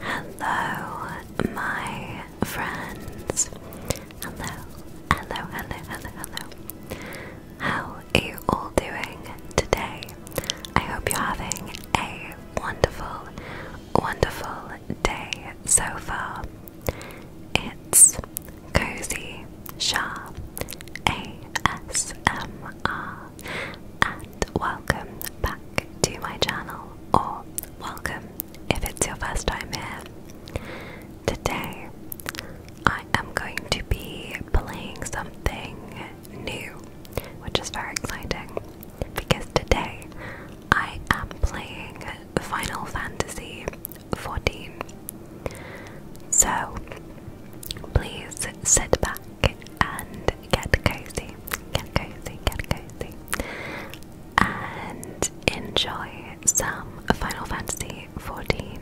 Hello, my friends. Hello, hello, hello, hello, How are you all doing today? I hope you're having a wonderful, wonderful day so far. It's Cozy Shah ASMR and welcome back to my channel, or welcome if it's your first time here. Today, I am going to be playing something new, which is very exciting because today I am playing Final Fantasy XIV. So, please sit back and get cozy, get cozy, get cozy, and enjoy some Final Fantasy XIV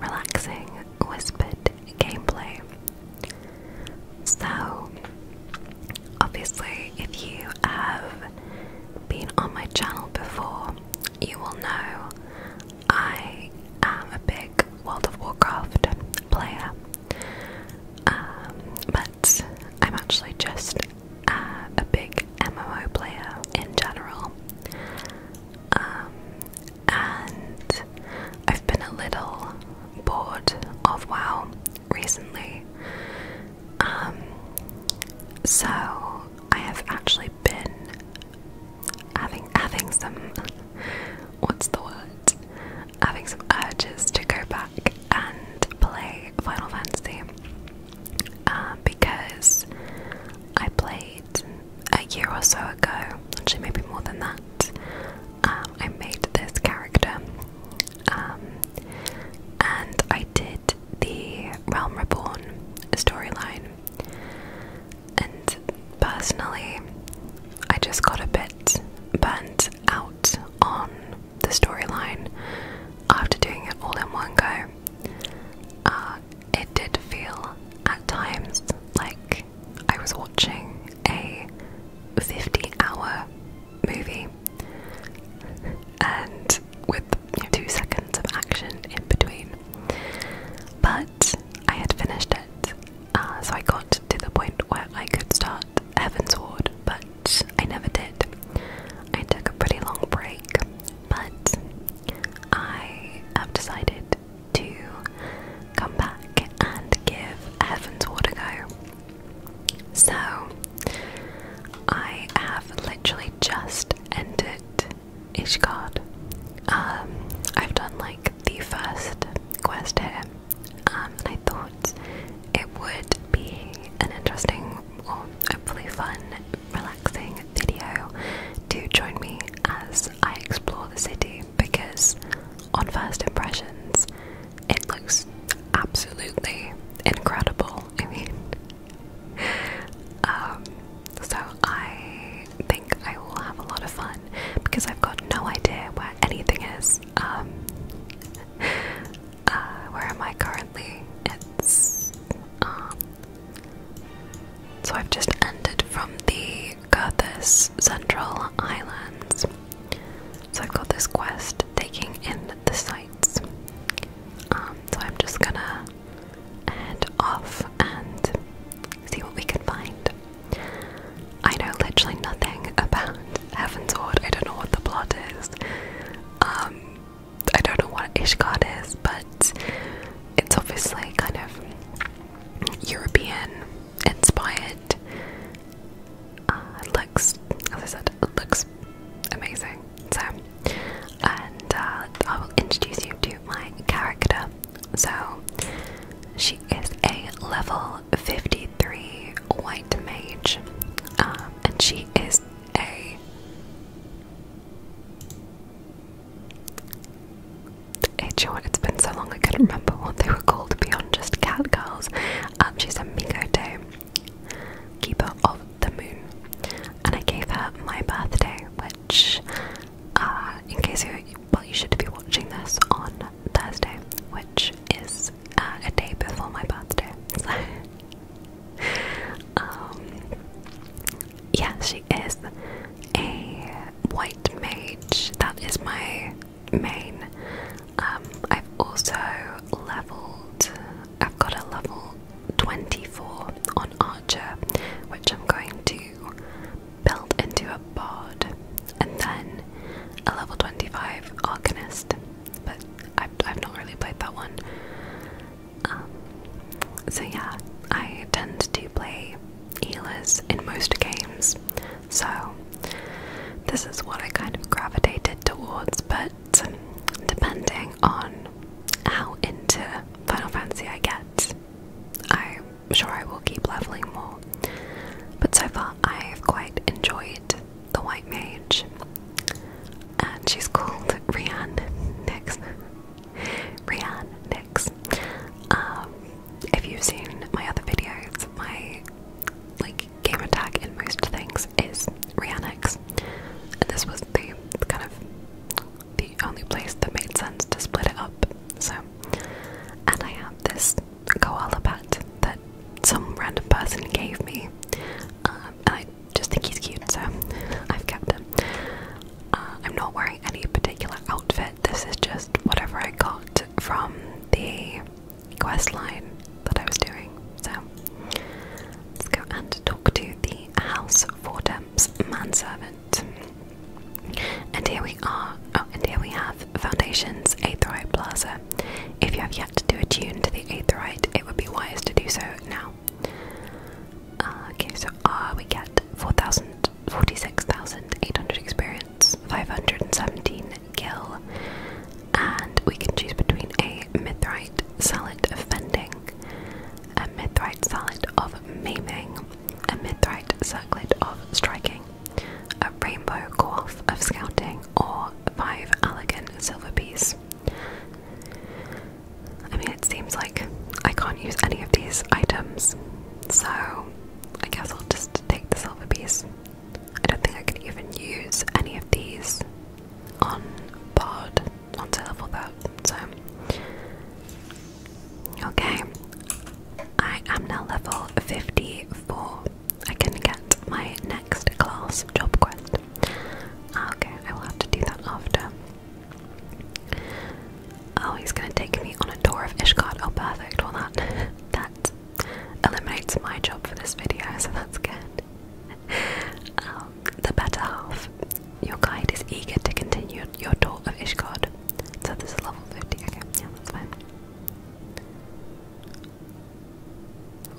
relaxing whispered gameplay. So, obviously, if you have been on my channel before, you will know I am a big World of Warcraft player. Um, but I'm actually just uh, a big MMO player in general. Um, and I've been a little bored of WoW recently. Um, so I have actually been having having some what's the word? having some urges to go back and play Final Fantasy uh, because I played a year or so ago, actually, maybe more than that. Um, I made this character um, and I did the Realm Reborn storyline and personally, I just got a bit burnt out on the storyline after doing it all in one go. Uh, it did feel at times like I was watching a 50 hour movie and with two seconds of action in between. But I had finished it uh, so I got to the point where I could start Heaven's Ward, but I never did. I took a pretty long break, but I have decided to come back and give Heaven's Ward a go. So, I have literally just entered Ishgard. Um, I've done like the first quest here, um, and I thought it would be an interesting or hopefully fun, relaxing video to join me as I explore the city because, on first impressions, it looks absolutely incredible. I mean, um, so I I think I will have a lot of fun because I've got no idea where anything is. Um, uh, where am I currently? It's. Um, so I've just ended from the Girthus Central Islands. So I've got this quest taking in the sites. Um, so I'm just gonna head off and see what we can find. I know literally nothing about Heaven's Ward. I don't know what the plot is. Um, I don't know what Ishgard is, but it's obviously kind of European inspired. Uh, looks, as I said, it looks amazing. So, and uh, I will introduce you to my character. So she is a level 53 white mage, um, and she is a Hey, you know what? It's been so long I couldn't remember what they were called beyond just cat girls. Um, she's a Mikote, keeper of the moon, and I gave her my birthday, which, uh, in case you, well, you should be watching this on Thursday, which is uh, a day before my birthday. um, yeah, she is a white mage. That is my main. Um, I've also leveled. I've got a level 24 on Archer, which I'm going to built into a bard, and then a level 25 Alchemist. But I've, I've not really played that one. Um, so, yeah, I tend to play healers in most games, so this is what I kind of gravitated towards. But depending on how into Final Fantasy I get, I sure I will keep leveling more. But so far, I've quite enjoyed the White Mage. And she's called Rianne Nix. Rianne Nix. Um, if you've seen my other videos, my like game attack in most things is Nix, And this was the kind of the only place that made sense to split it up. So and I have this koala pet that some random person gave me, um, and I just think he's cute, so I've kept him. Uh, I'm not wearing any particular outfit. This is just whatever I got from the quest line that I was doing. So let's go and talk to the house for temps manservant. And here we are. Oh, and here we have Foundation's Eighth right Plaza. If you have yet to do a tune to the eighth right, it would be wise to do so now. Uh, okay, so uh, we get 46,800 experience, 517 gil, and we can choose between a Mithrite Salad of Fending, a Mithrite Salad of Maiming, a Mithrite Circlet of Striking, a rainbow coif of scouting, or five elegant silver piece. I mean, it seems like I can't use any of these items, so I guess I'll just take the silver piece. I don't think I can even use any of these on Bard until level that, so Okay, I am now level 54. I can get my next class job quest. Ah, okay, I will have to do that after. Oh, he's gonna take me on a tour of Ishgard. Oh, perfect. Well, that that eliminates my job for this video, so that's good. Um, the better half. Your guide is eager to continue your tour of Ishgard. So this is level 50. Okay, yeah, that's fine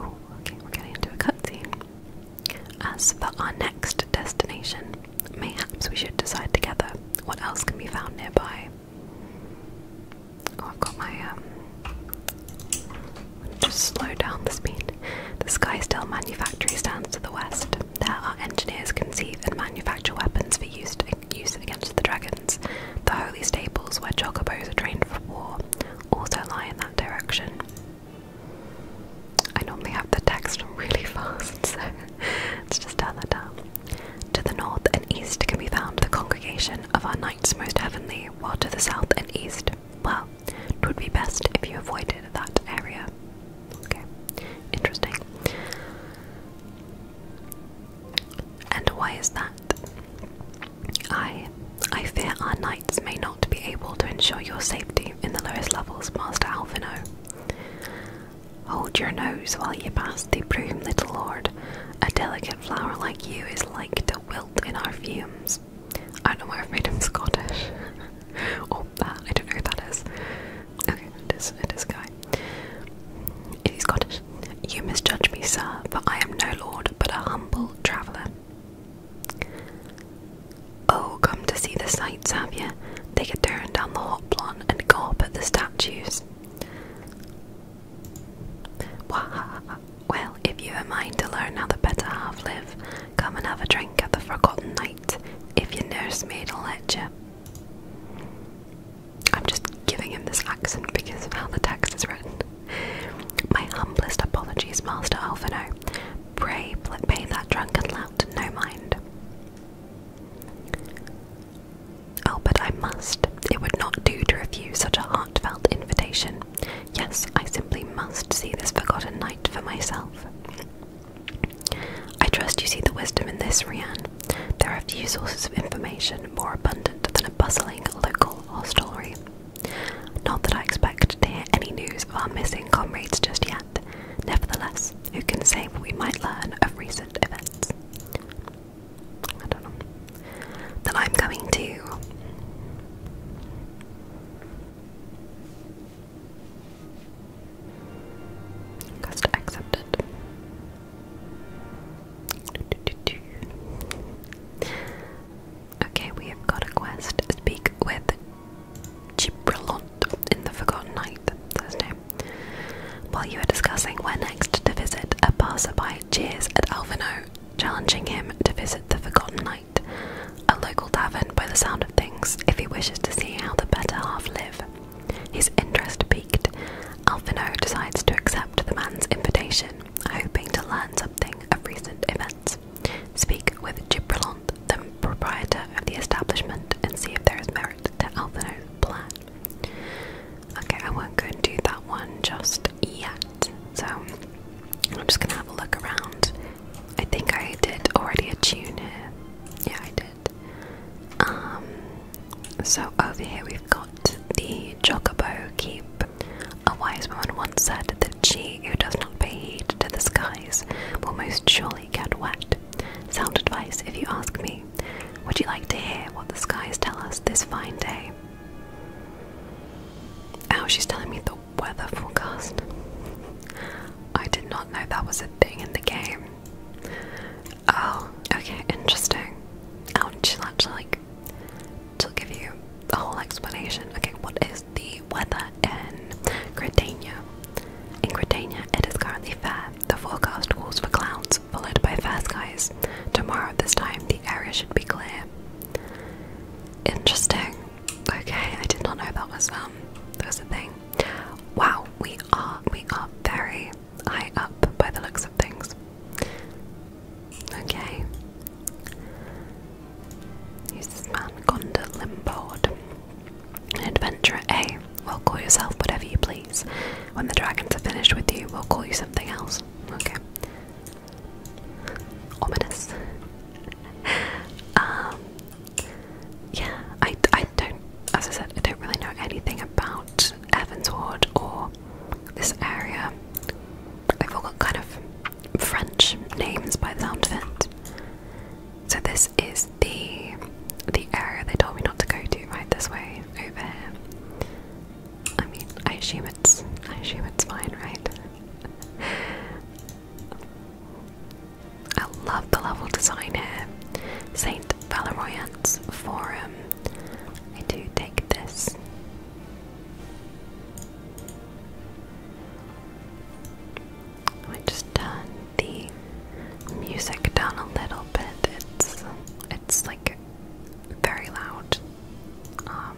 okay, we're getting into a cutscene. As for our next destination, mayhaps we should decide together what else can be found nearby. Oh, I've got my um. Just slow down the speed. The Skysteel manufactory stands to the west. There, our engineers conceive and manufacture weapons for used use against the dragons. The holy stables where chocobos are trained for war also lie in that direction. I normally have the text really fast, so let's just turn that down. To the north and east can be found the congregation of our knights most heavenly, while to the south and east, well, it would be best if you avoided that area. Okay, interesting. And why is that? I I fear our knights may not be able to ensure your safety in the lowest levels, Master Alfino. Hold your nose while you pass the broom, little lord. A delicate flower like you is like to wilt in our fumes. I know why I've Scottish. oh, that, I don't know who that is. Okay, it is, Guy. It is Scottish. You misjudge me, sir, for I am no lord, but a humble traveller. Oh, come to see the sights, have you? They a turn down the hot hoplon and gawp the statues. Well, if you've a mind to learn how the better half live, come and have a drink at the Forgotten Night, if your nursemaid'll let you. I'm just giving him this accent because of how the text is written. My humblest apologies, Master Alfino. Pray let me that drunken lout no mind. Oh, but I must. It would not do to refuse such a heartfelt invitation. Yes, I simply must see this forgotten night for myself. I trust you see the wisdom in this, Rianne. There are few sources of information more abundant than a bustling local hostelry. Not that I expect to hear any news of our missing comrades just yet. Nevertheless, who can say what we might learn of recent events? Then I'm coming to. Cost accepted. Okay, we have got a quest. Speak with Gibralot in the Forgotten Night, that's his name. While you are discussing where next to visit, a passerby cheers at Alvino, challenging him to visit the Forgotten Night, a local tavern by the sound of things, if he wishes to see how the better half live. His interest piqued, Alfino decides to accept the man's invitation, hoping to learn something of recent events. Speak with Gibralont, the proprietor of the establishment, and see if there is merit to Alfino's plan. Okay, I won't go and that one just yet, so I'm just gonna have a look around. I think I did already attune here. Yeah, I did. Um, so over here we've got the Chocobo Keep. A wise woman once said that she who does not pay heed to the skies will most surely get wet. Sound advice, if you ask me. Would you like to hear what the skies tell us this fine day? Oh, she's telling me the weather forecast. I did not know that was a thing in the game. Oh, okay, interesting. I oh, she'll like she give you a whole explanation. Okay, what is the weather in Gradania? In Gradania, it is currently fair. The forecast calls for clouds, followed by fair skies. Tomorrow this time, the area should be clear. Interesting. Okay, I did not know that was um that was a thing. Wow, we are we are very eye up by the looks of things. Okay. Who's this man? Gonda Limbord. Adventurer A. Well, call yourself whatever you please. When the dragons are finished with you, we'll call you something else. Okay. Ominous. um, yeah, I, I don't as I said, I don't really know anything about Evans Ward or this area. They've all got kind of French names by the sound of it. So this is the the area they told me not to go to, right this way, over here. I mean, I assume it's I assume it's fine, right? I love the level design here. Saint Valorant's forum. I do take this. I just turn the music down a little bit. It's it's like very loud. Um,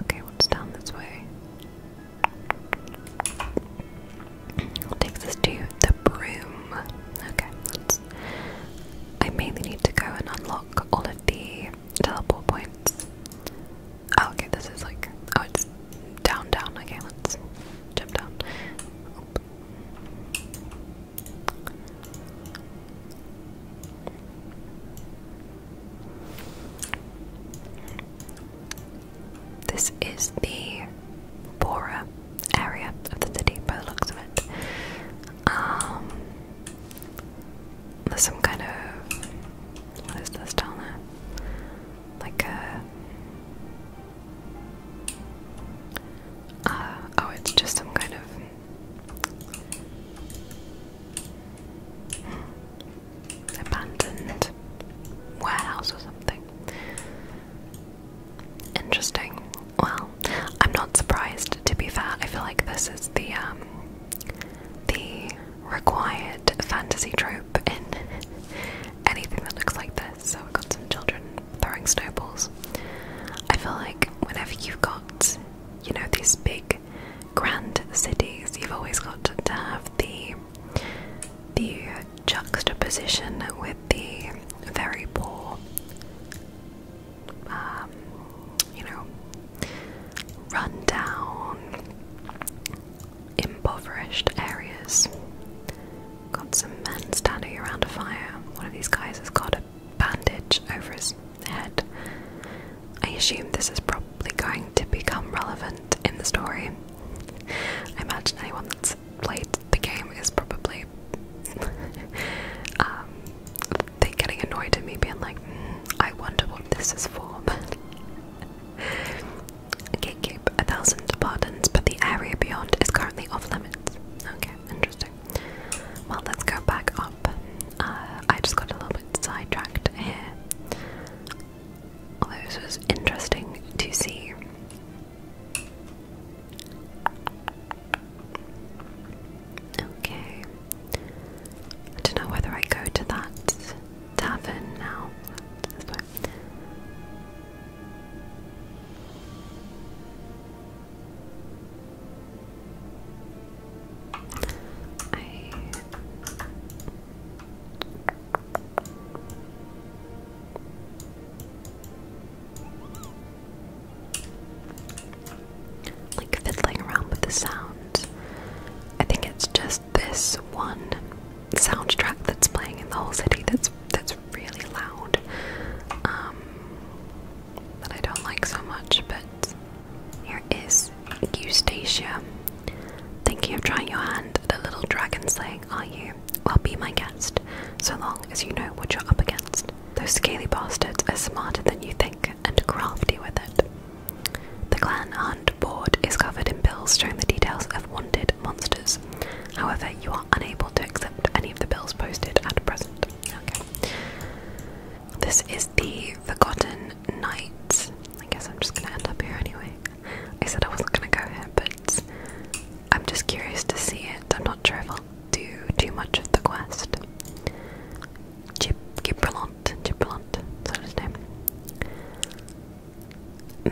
okay, what's down this way? Takes us to the broom. Okay, let's. I mainly need to go and unlock all of the teleport points. Oh, okay, this is like. Oh, it's down, down. Okay, let's jump down. This is the Bora area of the city by the looks of it. Um, there's some kind of. What is this down Like a. Uh, oh, it's just some kind of Abandoned warehouse or something. Interesting. Well, I'm not surprised to be fair. I feel like this is the um, the required fantasy trope in anything that looks like this. So we've got some children throwing snowballs. I feel like whenever you've got you know, these big grand cities, you've always got to have the the juxtaposition with the very poor, um, you know, rundown, impoverished areas. Got some men standing around a fire. One of these guys has got bandage over his head. I assume this is probably going to become relevant in the story. I imagine anyone that's played the game is probably um, getting annoyed at me being like, hmm, I wonder what this is for. okay, keep a thousand pardons, but the area beyond is currently off limits. Okay, interesting. Well, let's go back up. Uh, I just got a little bit sidetracked here. Although this was interesting to see. Okay. I don't know whether I go to that tavern now. I like fiddling around with the sounds. I think it's just this one soundtrack that's playing in the whole city that's that's really loud. Um, that I don't like so much, but here is Eustacia. Thinking of trying your hand at a little dragon slaying, are you? Well, be my guest, so long as you know what you're up against. Those scaly bastards are smarter than you think and crafty with it. The clan hunt board is covered in bills showing the details of wanted monsters. However, you are unable to accept any of the bills posted at present. Okay. This is the Forgotten Knights. I guess I'm just gonna end up here anyway. I said I wasn't gonna go here, but I'm just curious to see it. I'm not sure if I'll do too much of the quest. Gib Gibrelant, Gibrelant, that's his name.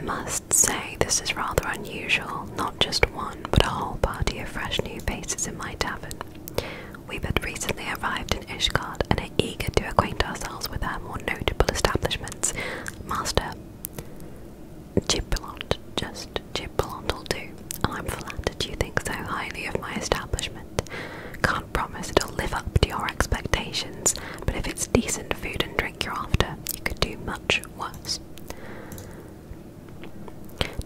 Must say, this is rather unusual. Not just one, but a whole party of fresh new faces in my tavern. We had recently arrived in Ishgard and are eager to acquaint ourselves with our more notable establishments. Master Gibelot, just Gibelot will do. I'm flattered you think so highly of my establishment. Can't promise it'll live up to your expectations, but if it's decent food and drink you're after, you could do much worse.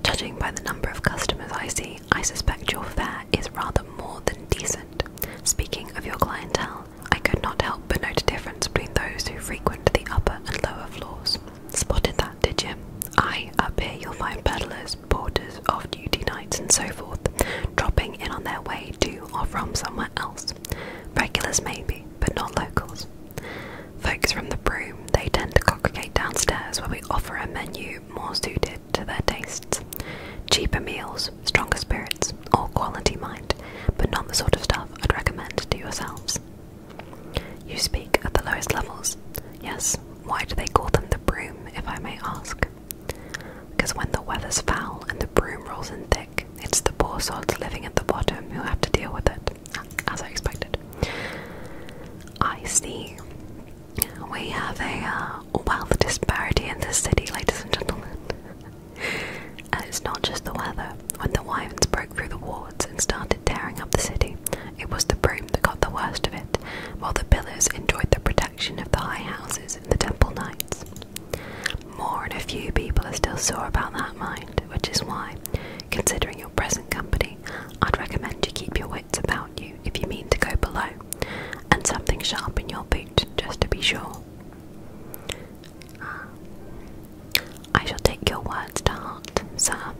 Judging by the number of customers I see, I suspect your fare is rather more than decent. Speaking of your clientele, I could not help but note a difference between those who frequent the upper and lower floors. Spotted that, did you? I. up here you'll find peddlers, porters, off duty nights, and so forth, dropping in on their way to or from somewhere else. Regulars, maybe, but not locals. Folks from the broom, they tend to congregate downstairs where we offer a menu more suited to their tastes. Cheaper meals, stronger spirits, or quality mind, but not the sort of stuff I'd recommend to yourselves. You speak at the lowest levels. Yes, why do they call them the broom, if I may ask? Because when the weather's foul and the broom rolls in thick, it's the poor sods living at the bottom who have to deal with it, as I expected. I see we have a uh, wealth disparity in this city, ladies and gentlemen. and it's not just the weather. When the wyverns broke through the wards and started tearing up the city, it was the broom that got the worst of it, while the pillars enjoyed the protection of the high houses and the temple knights. More and a few people are still sore about that mind, which is why, considering your present company, I'd recommend you keep your points about you if you mean to go below, and something sharp in your boot just to be sure. I shall take your words to heart, sir.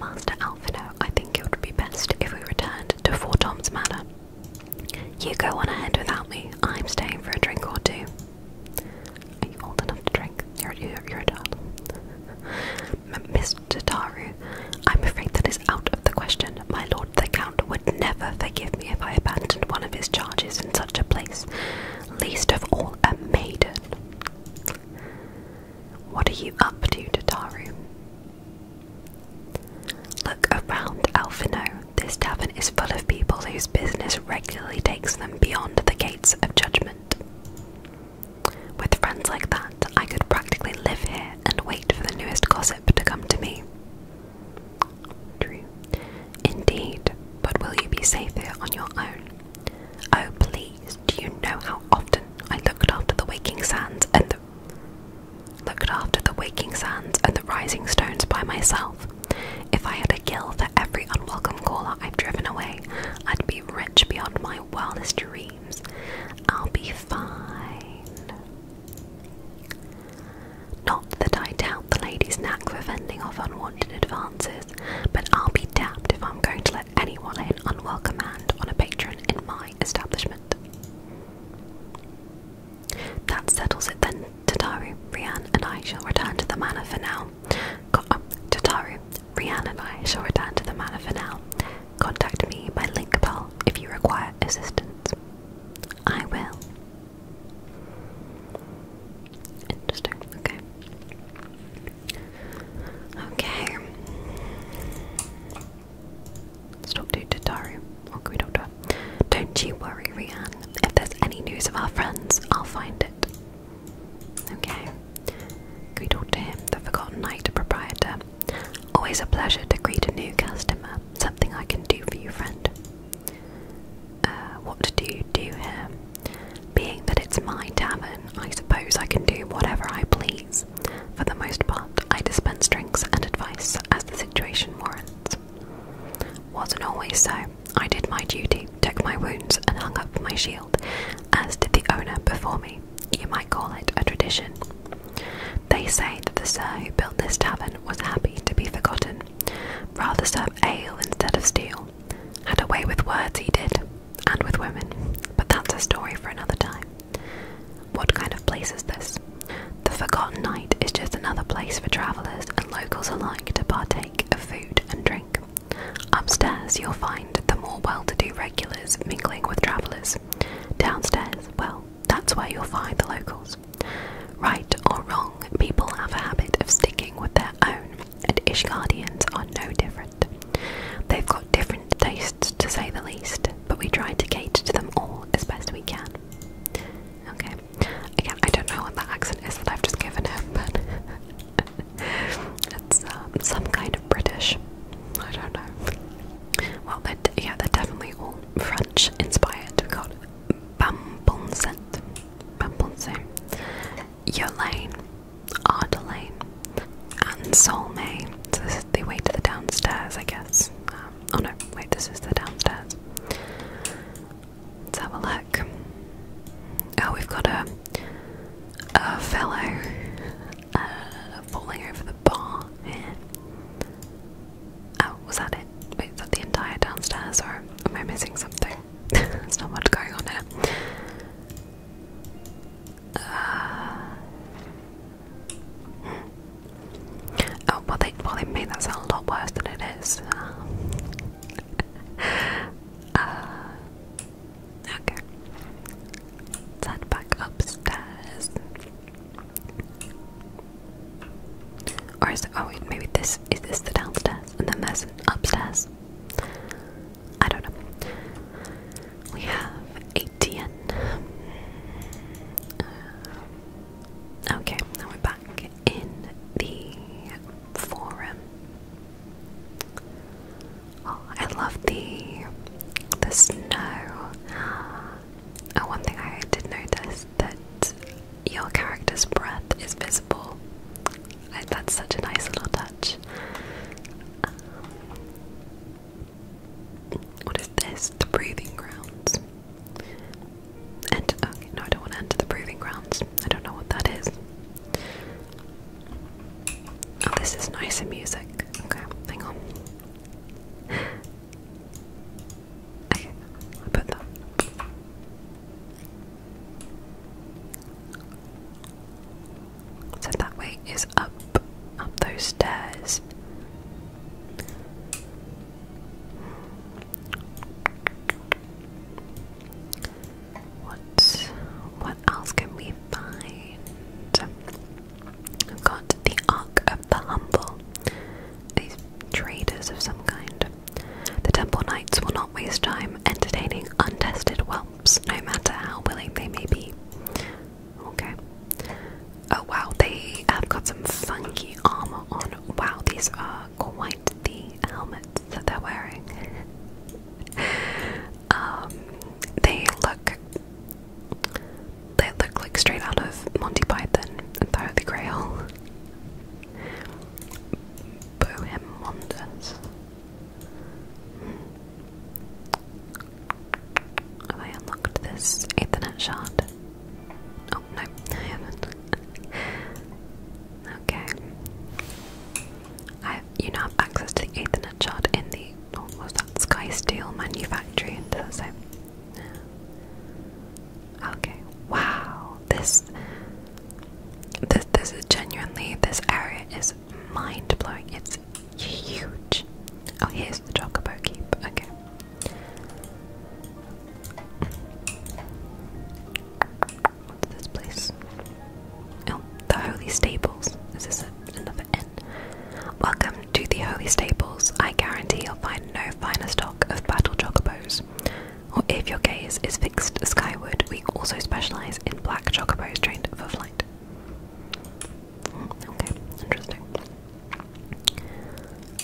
Master Alfino, I think it would be best if we returned to Four Tom's Manor. You go on ahead without me, I'm staying for a drink or two. Are you old enough to drink? You're, a child. Mr. Taru, I'm afraid that is out of the question. My lord the Count would never forgive me if I abandoned one of his charges in such a place, least of all a maiden. What are you up to, Tataru? Look around, Alfino. This tavern is full of people whose business regularly takes them beyond the gates of judgment. With friends like that, I could practically live here and wait for the newest gossip to come to me. True. Indeed, but will you be safe here on your own? Oh, please, do you know how often I looked after the waking sands and the looked after the waking sands and the rising stones by myself? If I had a gill for every unwelcome caller I've driven away, I'd be rich beyond my wildest dreams. I'll be fine. Not that I doubt the lady's knack for fending off unwanted advances, but I'll be damned if I'm going to let anyone in an unwelcome hand on a patron in my establishment. That settles it then, Tataru. Rianne and I shall return to the manor for now. Totaru, Rianne and I shall return to the manor for now. Contact me by link if you require assistance. I will. Interesting, okay. Okay. Let's talk What can we talk to Don't you worry, Rianne. If there's any news of our friends, I'll find it. Okay. Can we talk to him, the Forgotten Knight proprietor? Always a pleasure to greet a new customer. Something I can do for you, friend. Uh, what do you do here? Being that it's my tavern, I suppose I can do whatever I please. For the most part, I dispense drinks and advice as the situation warrants. Wasn't always so. I did my duty, took my wounds, and hung up my shield, as did the owner before me. You might call it a tradition. They say that the sir who built this tavern was happy to be forgotten, rather serve ale instead of steel. Had a way with words he did, and with women, but that's a story for another time. What kind of place is this? The Forgotten Night is just another place for travellers and locals alike to partake of food and drink. Upstairs, you'll find the more well to do regulars mingling with travellers. Downstairs, well, that's where you'll find the locals. Right or wrong, people have a habit of sticking with their own, and Ishgardians are no different. They've got different tastes, to say the least, but we try to cater to them all as best we can. Okay, again, I don't know what that accent is that I've just given him, but it's uh, some kind of British. I don't know. Well, yeah, they're definitely all French inspired. We've got Bambonsent, Bambonset, Yolaine, Ardelaine, and Solmay. So this is the way to the downstairs, I guess. Um, oh no, wait, this is the downstairs. Let's have a look. Oh, we've got a a fellow uh, falling over the bar Oh, was that it? Wait, was that the entire downstairs, or am I missing something? There's not much going on here. Uh, hmm. oh, well they, well, they made that sound a lot worse than it is. Uh, okay. Let's head back upstairs. Or is oh wait, maybe this, is this the downstairs? And then there's an upstairs? I don't know. We have ATN. Uh, okay, now we're back in the forum. Oh, I love the the snow. Oh, one thing I did notice that your character's breath is visible. that's such a nice little touch. Um, what is this? The breathing grounds. And okay, no, I don't want to enter the breathing grounds. I don't know what that is. Oh, this is nice and music. Okay, hang on. Okay, I put that. So that way is up, up those stairs. What what else can we find? I've got the Ark of the Humble. These traders of some kind. The Temple Knights will not waste time entertaining untested whelps, no matter how willing they may be. Okay. Oh wow, they have got some funky armor on. Wow, these are quite the helmets that they're wearing. Um, they look they look like straight out of Monty Python and Thou the Grail. Bohem Wonders. Hmm. Have I unlocked this Ethernet shard? Oh no, I haven't. okay you now have access to the Ethernet chart in the oh, what was that Sky Steel manufactory and does it? Okay. Wow. This. This. This is genuinely. This area is mind blowing. It's huge. Oh, here's the Chocobo Keep. Okay. What's this place? Oh, the Holy Stables. Is this a, another N? Welcome to the Holy Stables. I guarantee you'll find no finer stock of battle chocobos. Or if your gaze is fixed skyward, we also specialize in black chocobos trained for flight. Hmm, okay, interesting.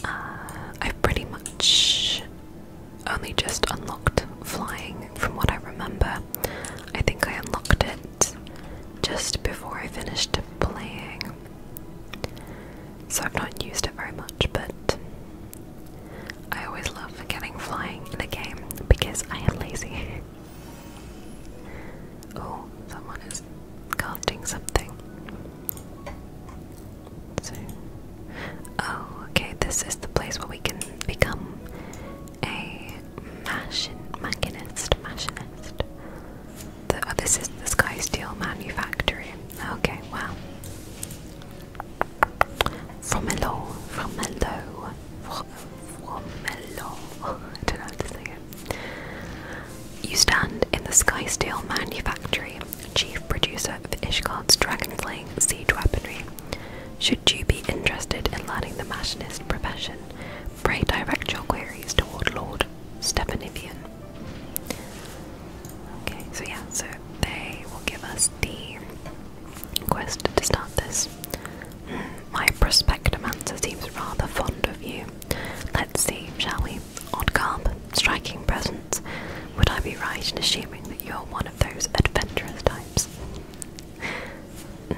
Uh, I've pretty much only just unlocked flying from what I remember. I think I unlocked it just before I finished playing. So I've not used it very much, but I always love getting flying in a game because I am lazy. oh, someone is casting something. So Oh, okay, this is the place where we can become a machinist. Machinist. Oh, this is the Sky Steel Manufactory. Okay, wow. From a low, from a from, from I don't know how to say it. You stand in the Sky Steel Manufactory, chief producer of Ishgard's dragon siege weaponry. Should should you be interested in learning the machinist profession, pray direct your queries toward Lord Stepanivian. Okay, so yeah, so they will give us the quest to start this. Mm, my prospectomancer seems rather fond of you. Let's see, shall we? Odd garb, striking presence. Would I be right in assuming you're one of those adventurous types. Mm.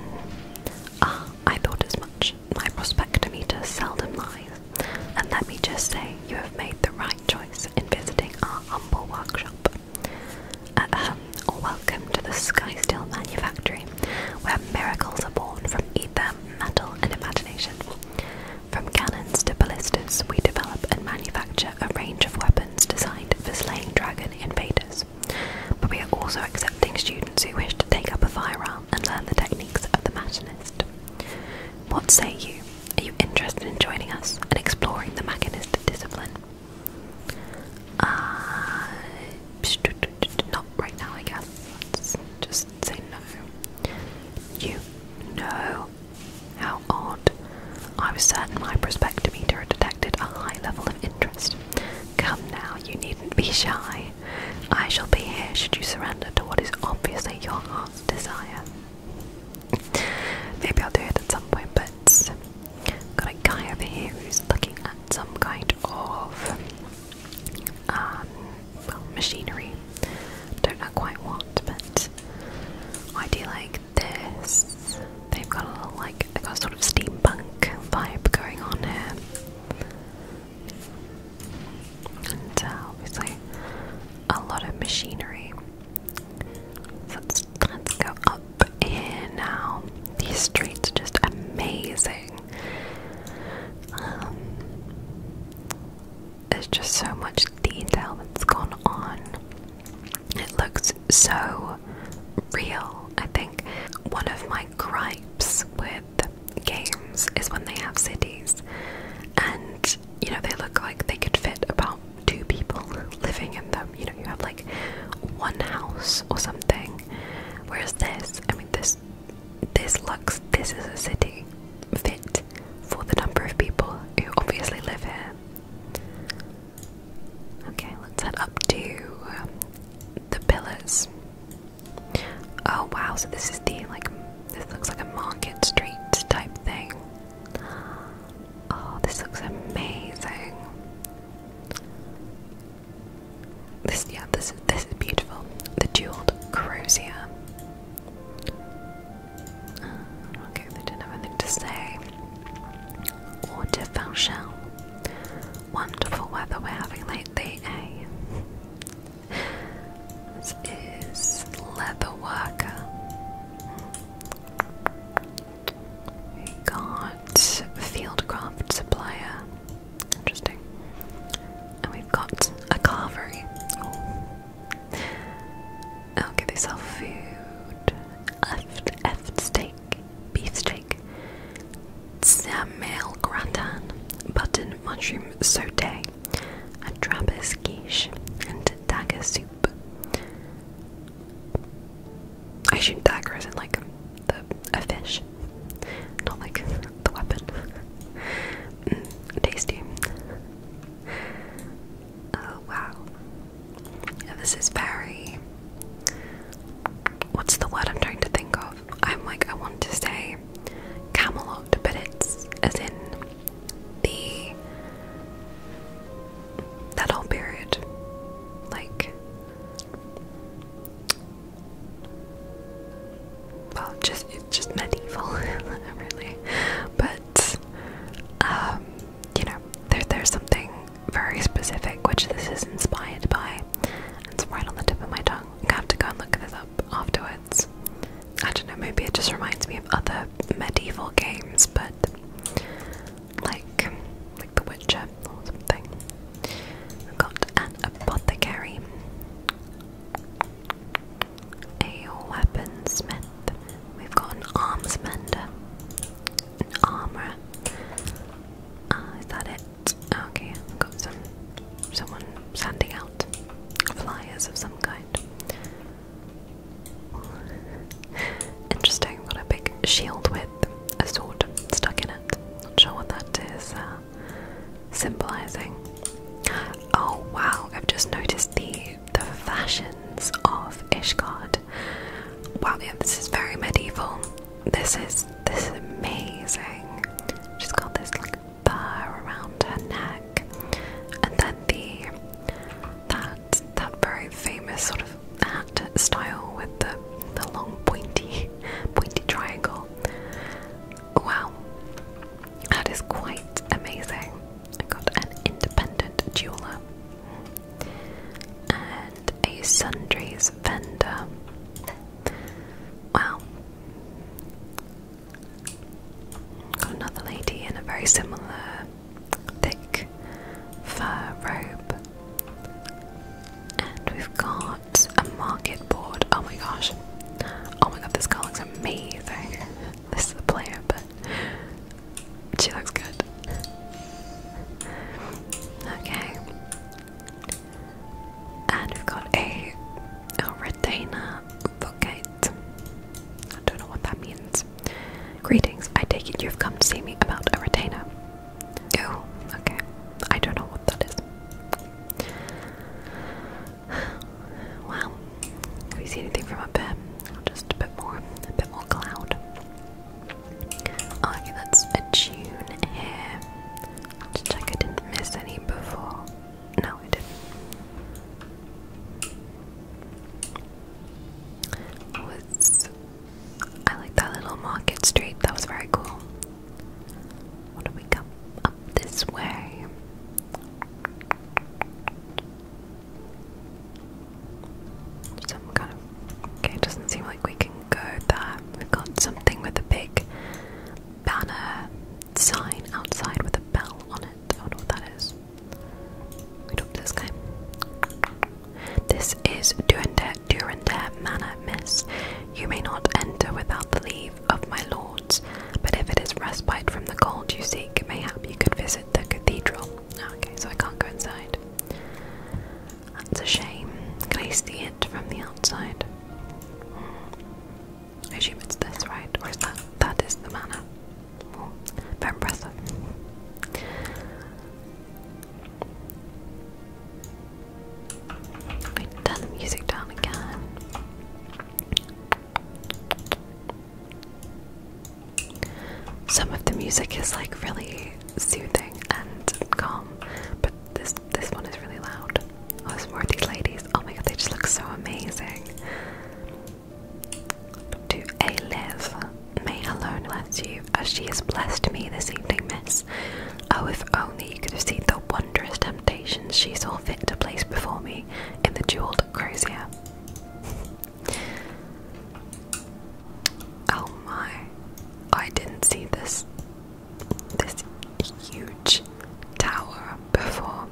Ah, I thought as much. My prospectometer seldom lies. And let me just say, you have made the right choice in visiting our humble workshop. Ahem, or welcome to the Sky Steel Manufactory, where miracles are born from ether, metal, and imagination. From cannons to ballistas, we develop and manufacture a range of weapons designed for slaying dragon invaders, but we are also accepting students who wish to take up a firearm and learn the techniques of the machinist. What say you? Are you interested in joining us and exploring the machinist discipline? Uh, not right now, I guess. just say no. You? No. How odd. I was certain my prospectometer detected a high level of interest. Come now, you needn't be shy. I shall be here should you surrender to what is obviously your heart's desire. Maybe I'll do it at some point, but got a guy over here who's looking at some kind of um, well, machinery. Don't know quite what, but I do like this. They've got a little, like, they've got a sort of steampunk vibe going on here. And uh, obviously, a lot of machinery. So let's, let's go up here now. These streets are just amazing. Um, there's just so much detail that's gone on. It looks so real, I think. One of my gripes with games is when they have cities and you know they look like they could fit about two people living in them. You know, you have like one house or something. Whereas this, I mean this this looks this is a city fit for the number of people who obviously live here. Okay, let's head up to um, the pillars. Oh wow, so this is the like this looks like a market street type thing. Oh, this looks amazing. This yeah, this this is beautiful. The jeweled crozier. Oh, okay, they didn't have anything to say. Water Fauchel. Wonderful weather we're having lately, eh? this is Leather Worker. We got Fieldcraft Supplier. Interesting. And we've got a carvery. I'll give yourself food. Left, F steak, beef steak, Samuel gratin, button mushroom saute, a Trappist quiche, and dagger soup. I shoot dagger isn't like a fish, not like the weapon. Mm, tasty. Oh wow. this is very what's the word I'm trying to think of? I'm like I want to say Camelot, but it's as in the that whole period. Like well just it's just medieval really. But um you know, there, there's something very specific which this is inspired by. It's right on the tip of my tongue. I have to go and look this up afterwards. I don't know, maybe it just reminds me of other medieval games, but like like The Witcher or something. We've got an apothecary, a weaponsmith, We've got an arms mender, an armorer. Ah, is that it? Okay, I've got some someone sending out flyers of some kind. Interesting, got a big shield with a sword stuck in it. Not sure what that is uh, symbolizing. Oh wow, I've just noticed the the fashions of Ishgard. Wow, this is very medieval. This is this is amazing. She's got this like bar around her neck, and then the that that very famous sort of hat style with the the long pointy pointy triangle. Wow, that is quite amazing. I got an independent jeweler and a sundries vendor. Wow. Got another lady in a very similar thick fur robe. And we've got a market board. Oh my gosh. Oh my god, this car looks amazing. This is the player, but she looks good. Okay. And we've got a, retainer bucket. I don't know what that means. Greetings, I take it you've come to see me about a retainer. Oh, okay. I don't know what that is. Well, have we seen anything from up there? Just a bit more, a bit more cloud. Okay, that's a tune here. let check I didn't miss any before. No, I didn't. Was I like that little market street? That was very cool. What do we come up this way? Some kind of. Okay, it doesn't seem like we can go there. We've got something with a big banner sign outside with a bell on it. I don't know what that is. Wait up this guy. This is Durandare, Durandare Manor, miss. You may not enter without the leave of my lords, but if it is respite from the cold you seek, mayhap you could visit the cathedral. Ah, okay, so I can't go inside. That's a shame. Can I see it from the outside? I assume it's this, right? Or is that? That is the manor. very impressive. turn the music down again. Some of the music is like really soothing and calm, but this this one is really loud. Oh, there's ladies. Oh my god, they just look so amazing. To A live. May alone bless you, as she has blessed me this evening, miss. Oh, if only you could have seen the wondrous temptations she saw fit to place before me in the jeweled crozier. Oh my. I didn't see this this huge tower before.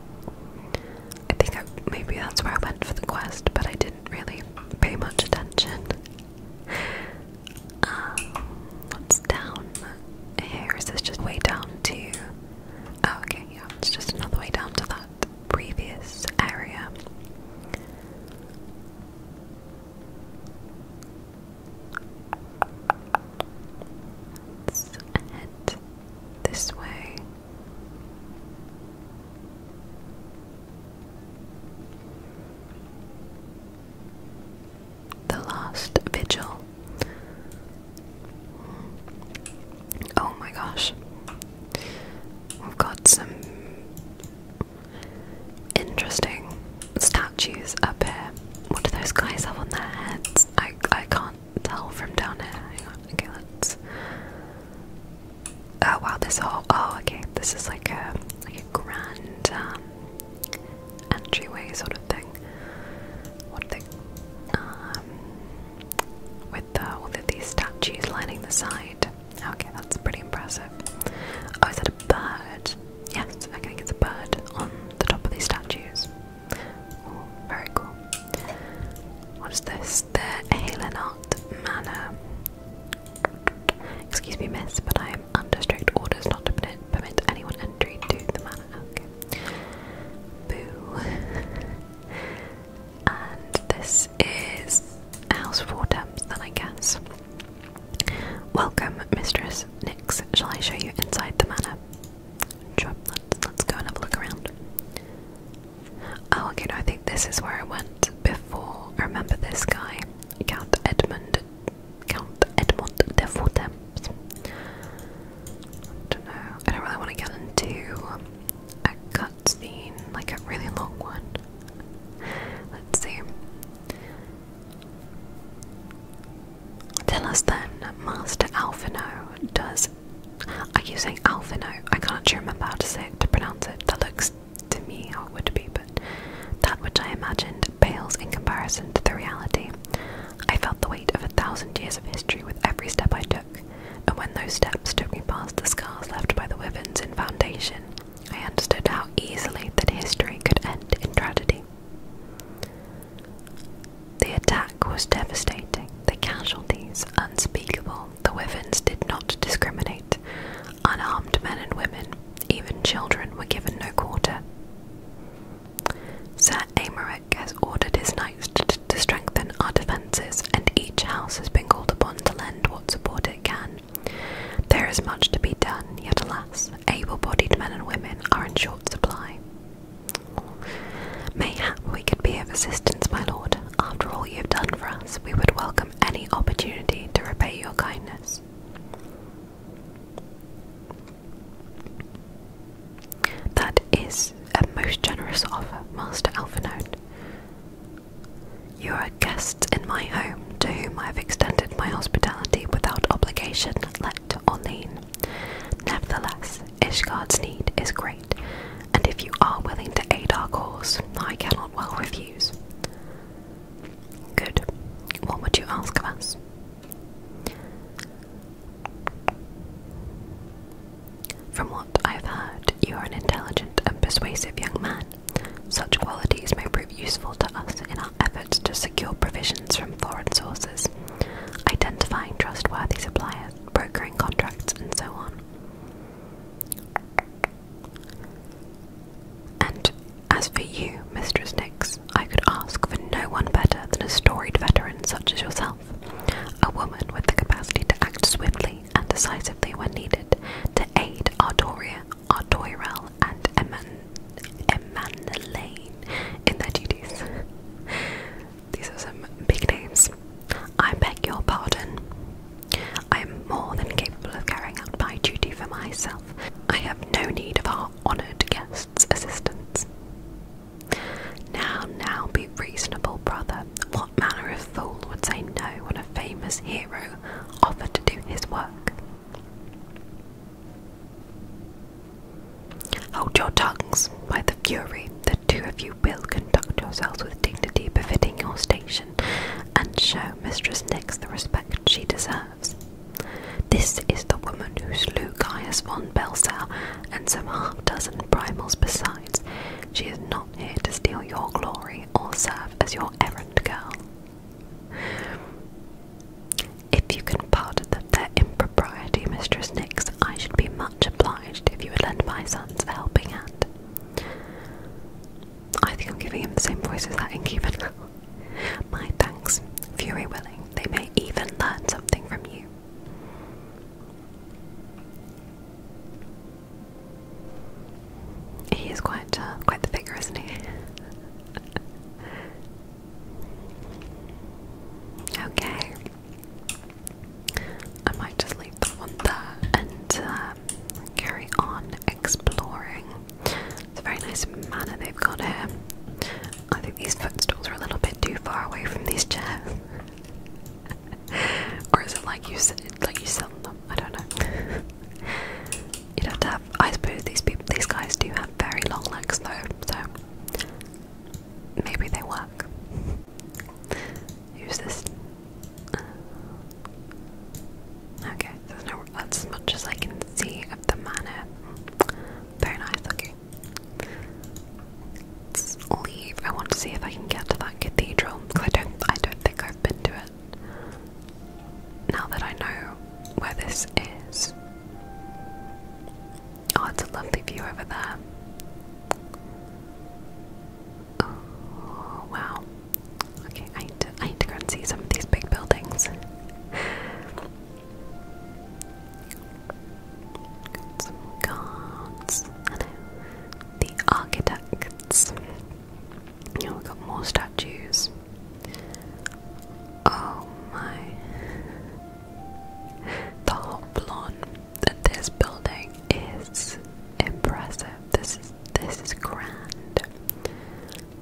I think I, maybe that's where I went for the quest, but I didn't really pay much attention. Um, what's down here? Is this just way down to? Oh, okay, yeah, it's just another way down to that previous area. Let's this way. The lost Vigil. Oh my gosh. We've got some interesting statues up here. What do those guys have on their heads? I I can't tell from down here. Okay, let's. Oh wow, this whole. Oh, okay. This is like a like a grand um, entryway sort of thing. What thing? with uh, all of these statues lining the side. Okay, that's pretty impressive. Oh, is that a bird? Yes, I think it's a bird on the top of these statues. very cool. What is this? The Halenart Manor. Excuse me, miss, but I am under strict orders not to permit, permit anyone entry to the manor. Okay. Boo. and this is House Four Temps, then I guess. Welcome, Mistress Nix. Shall I show you inside the manor? let's, go and have a look around. Oh, okay, no, I think this is where I went before. I remember this guy, Count Edmund. Count Edmund de Four I don't know, I don't really want to get into a cutscene, like a really long one. Let's see. Tell us then, Master Alfino does. Are you saying Alfino? I can't actually remember how to say it, to pronounce it. That looks to me how it would be, but that which I imagined pales in comparison to the reality. I felt the weight of a thousand years of history with every step I took and when those steps took me past the scars left by the weapons in Foundation, I understood how easily that history could end in tragedy. The attack was devastating, the casualties unspeakable. The weapons did not discriminate. Unarmed men and women, even children, were given no quarter. Sir Amerek has ordered his knights to to strengthen our defences, and each house has been called upon to lend what support it can. There is much to be done, yet alas, able bodied men and women are in short supply. Mayhap we could be of assistance, my lord. After all you have done for us, we would welcome any opportunity to repay your kindness. That is a most generous offer, Master Alphanode. You are guests in my home to whom I have extended my hospitality without obligation, let or lien. Nevertheless, Ishgard's need is great, and if you are willing to aid our cause, I cannot well refuse. Good. What would you ask of us? From what I've heard, you are an intelligent and persuasive young man. Such qualities may prove useful to us in our efforts to secure provisions from foreign sources, identifying trustworthy suppliers, brokering contracts, and so on. And as for you, Mistress Nix, I could ask for no one better than a storied veteran such as yourself. A woman with the capacity to act swiftly and decisively when needed to aid Ardoria, Ardoirel, and Emmanuelle in their duties. These are some big names. I beg your pardon. I am more than capable of carrying out my duty for myself. I have no need of our honoured guest's assistance. Now, now, be reasonable, brother manner of fool would say no when a famous hero offered to do his work? Hold your tongues, by the fury, the two of you will conduct yourselves with dignity befitting your station, and show Mistress Nix the respect she deserves. This is the woman who slew Caius von Belsau and some half dozen primals besides. She is not here to steal your glory or serve as your errand girl. If you can pardon that their impropriety, Mistress Nix, I should be much obliged if you would lend my sons a helping hand. I think I'm giving him the same voice as that innkeeper now. my thanks, fury willing, they may even learn something from you. He is quite uh, quite the figure, isn't he? okay. I might just leave that one there and um, carry on exploring. It's a very nice manor they've got here. I think these footstools are a little bit too far away from these chairs. or is it like you like you sell them? I don't know. You'd have to have. I suppose these these guys, do have very long legs though, so maybe they work. Use this. Uh, okay, there's no. That's as much as I can see of the manor. Very nice. Okay let's leave. I want to see if I can get to that cathedral because I don't. I don't think I've been to it. Now that I know where this is. Oh, it's a lovely view over there. Oh wow. Okay, I need to, I need to go and see some of these big buildings. Got some cards the architects. we've got more statues. Oh my. The Hoplon that this building is impressive. This is this is grand.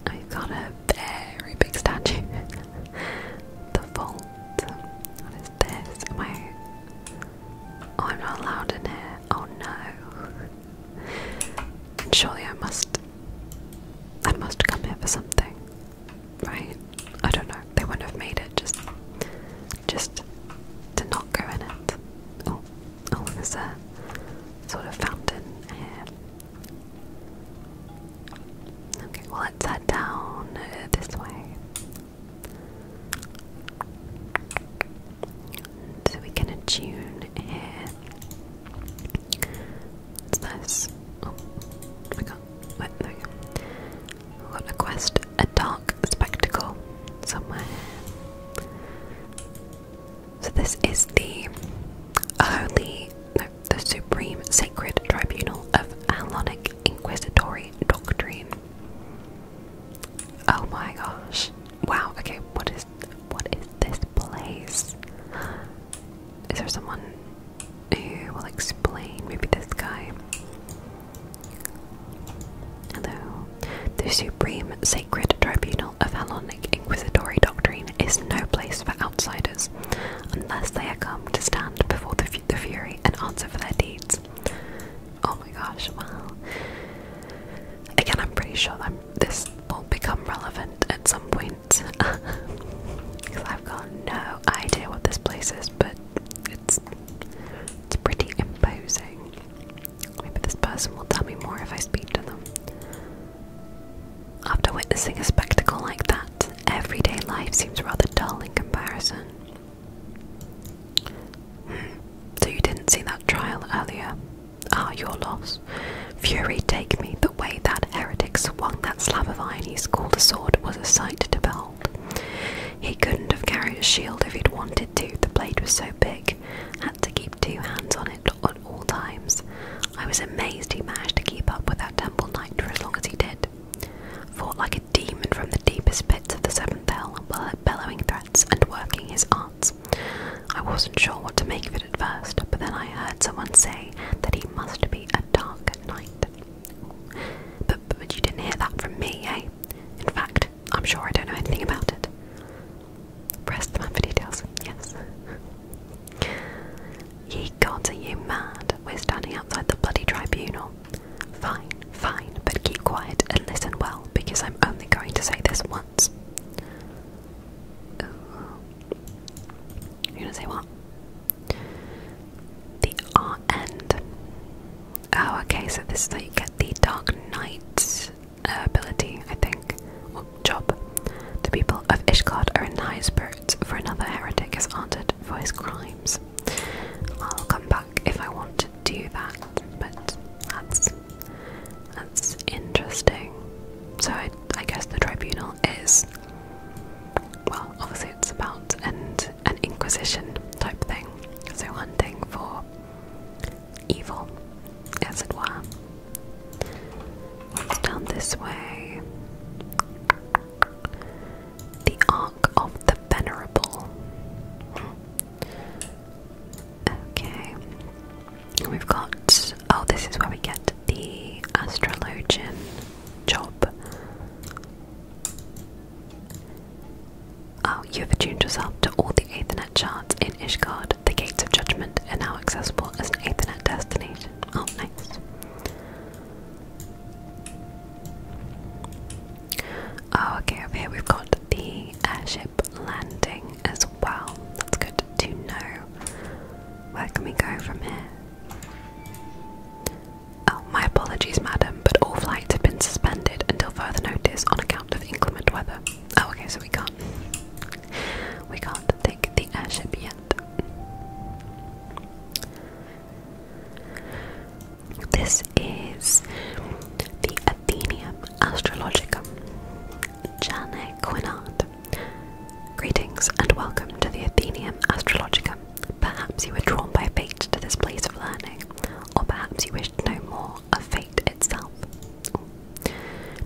I've got a very big statue. the vault. What is this? Am Oh, I'm not allowed in here. Oh no. Surely I must. I must come here for something, right? I don't know. They wouldn't have made it just, just to not go in it. Oh, oh, there's a sort of fountain here. Okay, well let's head down this way. So we're gonna tune here. this? Oh, I can't. Wait, there we go. we got a quest, a dark spectacle somewhere. So this is the holy, no, the supreme sacred tribunal of Hellenic inquisitory doctrine. Oh my gosh. Wow, okay, what is what is this place? Is there someone who will explain? Maybe this guy. Hello. The supreme sacred tribunal of Hellenic Inquisitorial doctrine is no place for outsiders, unless they are come to stand before the, the fury and answer for their deeds. Oh my gosh, wow. Again, I'm pretty sure that this will become relevant at some point. Because I've got no idea what this place is, but it's it's pretty imposing. Maybe this person will tell me more if I speak to them. After witnessing a spectacle like that, everyday life seems rather dull in comparison. So you didn't see that trial earlier? Ah, your loss. Fury take me, the way that heretic swung that slab of iron he called a sword was a sight to behold. He couldn't have carried a shield if he'd wanted to, the blade was so big, had to keep two hands on it at all times. I was amazed he managed to keep up with that temple knight for as long as he did. Fought like demon from the deepest pits of the seventh hell, bellowing threats and working his arts. I wasn't sure what to make of it at first, but then I heard someone say that he must be a dark knight. But, but you didn't hear that from me, eh? In fact, I'm sure I don't know anything about it. Press the man for details, yes. Ye gods, are you mad? We're standing outside the bloody tribunal. Fine, fine, but keep quiet and listen well because I'm only going to say this once. You're gonna say what? The R end. Oh, okay, so this is how you get the Dark Knight uh, ability, I think. Well, job. The people of Ishgard are in high spirits, for another heretic is honored for his crimes. I'll come back if I want do that, but that's that's interesting. So I, I guess the tribunal is well, obviously it's about an an inquisition type thing. So hunting for evil, as it were. Down this way. The of the Venerable. Okay. We've got. Oh, this is where we get the astrologian job. Oh, you have attuned yourself to all the Ethernet charts in Ishgard. The gates of judgment are now accessible as an Ethernet destination. Oh, nice. Oh, okay, over here we've got the airship landing as well. That's good to know. Where can we go from here? Oh, my apologies, madam, but all flights have been suspended until further notice on account of inclement weather. Oh, okay, so we can't. We can't take the airship yet. This is the Athenium Astrologica, Jane Quinard. Greetings and welcome to the Athenium Astrologica. Perhaps you were drawn by fate to this place of learning, or perhaps you wish to know more of fate itself.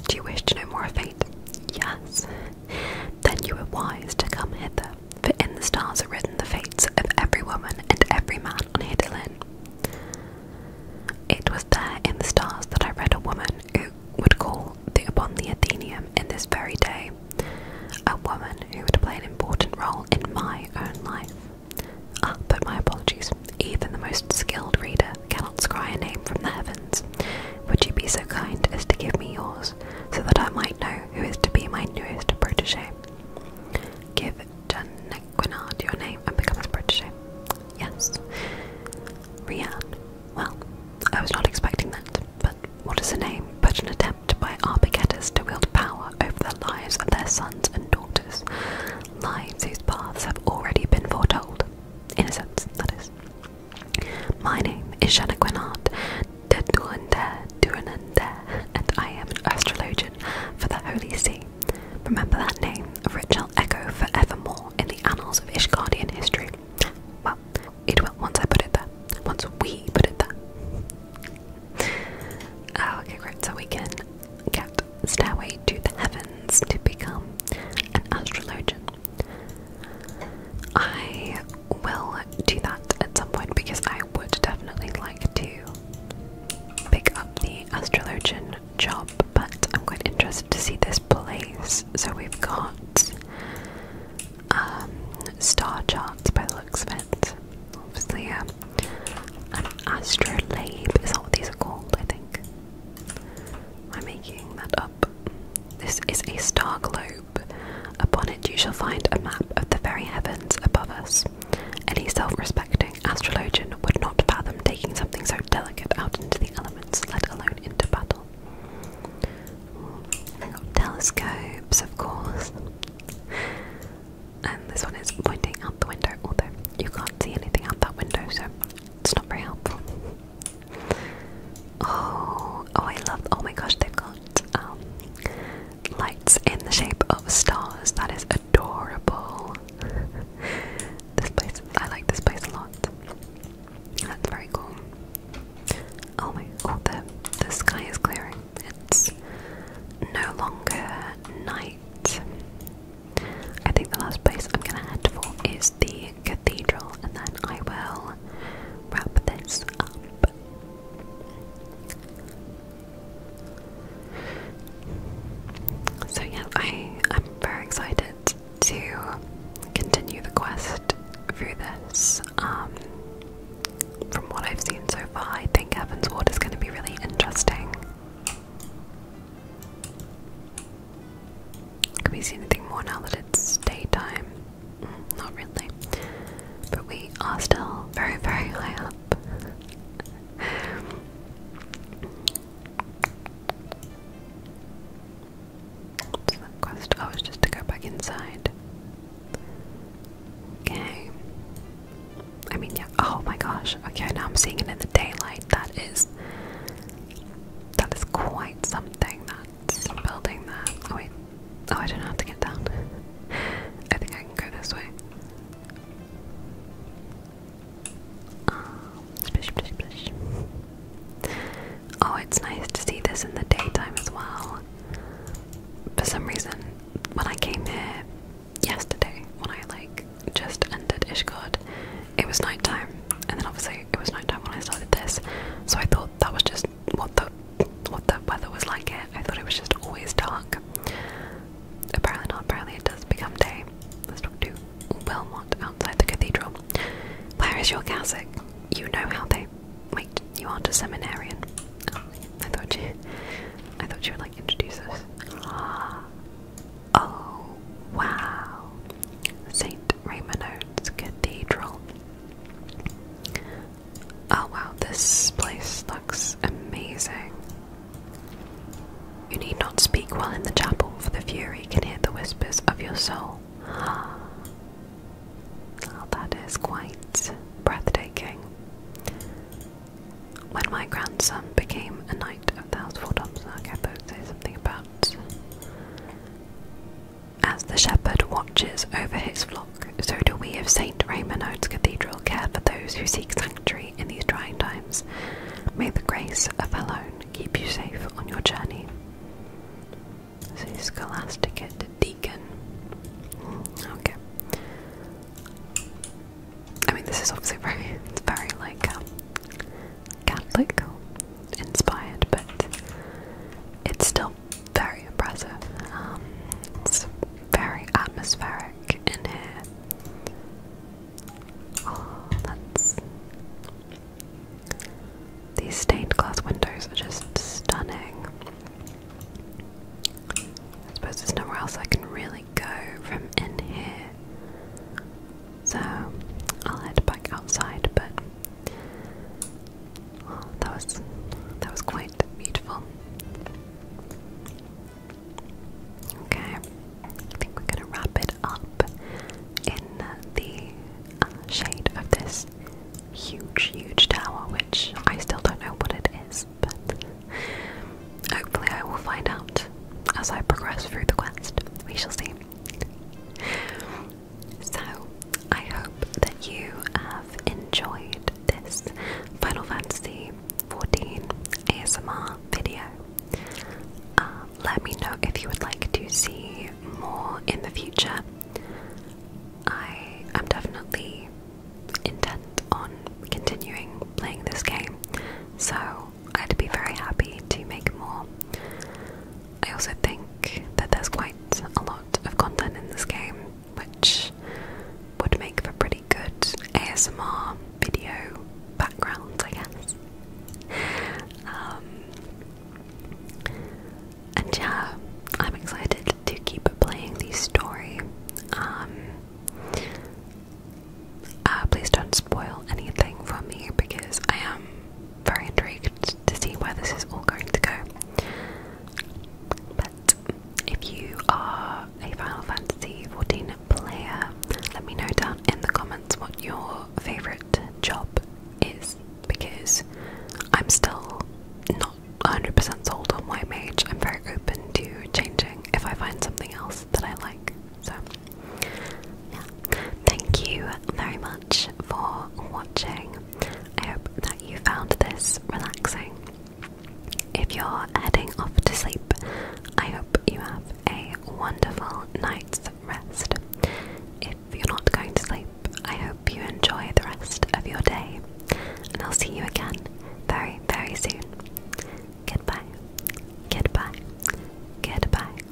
Do you wish to know more of fate? Yes. Then you were wise to come hither. For in the stars are written the fates of every woman and every man on Hidalin. It was there in the stars that I read a woman who would call upon the Athenium in this very day, a woman who would play an important role in my own life. Ah, but my apologies. Even the most skilled reader cannot scry a name from the heavens. Would you be so kind as to give me yours, so that I might know who is to be my newest protege? Give Janequinard your name and become his protege. Yes. Rianne. Well, I was not expecting that, but what is a name but an attempt by Arbageddus to wield power over the lives of their sons and daughters, lives whose paths have already been foretold. In a sense, that is. My name is Janequinard de Durandaire, Durandaire, and I am an astrologian for the Holy See. Remember that name, for it shall echo forevermore in the annals of Ishgardian history. Well, it will once I put it there. Once we put it there. Ah, okay, great. So we can get Stairway to the Heavens to become an astrologian. I will do that at some point because I I would definitely like to pick up the astrologian job, but I'm quite interested to see this place. So we've got um, star charts by the looks of it. Obviously, um, an astrolabe is that what these are called? I think. I'm making that up. This is a star globe. Upon it, you shall find a map of the very heavens above us. Any self-respecting astrologian would not fathom taking something so delicate out into the elements, let alone into battle. telescopes, of course. And this one is pointing out the window, although you can't see anything out that window, so it's not very helpful. Oh, oh, I love. Oh my gosh, they've got um, Lights in the shape of stars. That is adorable. this place, I like this place a lot. That's very cool. Oh my! Oh, the the sky is clearing. It's no longer night. I think the last place I'm gonna head for is the cathedral, and then I will wrap this up. So yeah, I am very excited to continue the quest through this. Um, from what I've seen so far, I think Heaven's Ward is going to be really interesting. Can we see anything more now that it's daytime? Mm, not really. But we are still very, very high up. What's the quest? just to go back inside. Okay. I mean, yeah. Oh my gosh. Okay, now I'm seeing it in the daylight. That is. That is quite something. That's building that. Oh wait. Oh, I don't know how to get down. I think I can go this way. Oh, it's nice to see this in the daytime as well. For some reason, when I came here yesterday, when I like just entered Ishgard, it was nighttime, and then obviously it was nighttime when I started this. So I thought that was just what the what the weather was like it. I thought it was just always dark. Apparently not, apparently it does become day. Let's talk to Belmont outside the cathedral. Where is your cassock? You know how they wait, you aren't a seminarian. Oh, I thought you I thought you would like introduce us. Ah. Oh wow. Saint Raymond's Cathedral. Oh wow, this place looks amazing. You need not speak while in the chapel, for the fury can hear the whispers of your soul. Ah, ah that is quite breathtaking. When my grandson became a knight of the Household Obsark, I both say something about. As the shepherd watches over his flock, so do we of St. Raymond Oates Cathedral care for those who seek sanctuary in these trying times. May the grace of our own keep you safe on your journey. So Scholasticate Deacon. Mm, okay. I mean, this is obviously very, very like um, Catholic inspired, but it's still very impressive. Um, very atmospheric in here. Oh, that's. These stained glass windows are just stunning. I suppose there's nowhere else I can really go from in here. So I'll head back outside, but oh, that was that was quite beautiful. Okay, I think we're gonna wrap it up in the uh, shade of this huge, huge tower, which I still don't know what it is, but hopefully I will find out as I progress through the quest. We shall see. So, I hope that you uh, enjoyed this Final Fantasy 14 ASMR video. Uh, let me know if you would like to see more in the future. I am definitely intent on continuing playing this game, so I'd be very happy to make more. I also think that there's quite a lot of content in this game, which would make for pretty good ASMR video background, I guess. Um, and yeah, I'm excited to keep playing the story. Um, uh, please don't spoil anything for me because I am very intrigued to see where this is all going to go if you are a Final Fantasy XIV player, let me know down in the comments what your favourite job is because I'm still not 100% sold on my Mage. I'm very open to changing if I find something else that I like. So, yeah. Thank you very much for watching. I hope that you found this relaxing if you're heading off to sleep, I hope you have a wonderful night's rest. If you're not going to sleep, I hope you enjoy the rest of your day, and I'll see you again very, very soon. Goodbye, goodbye, goodbye.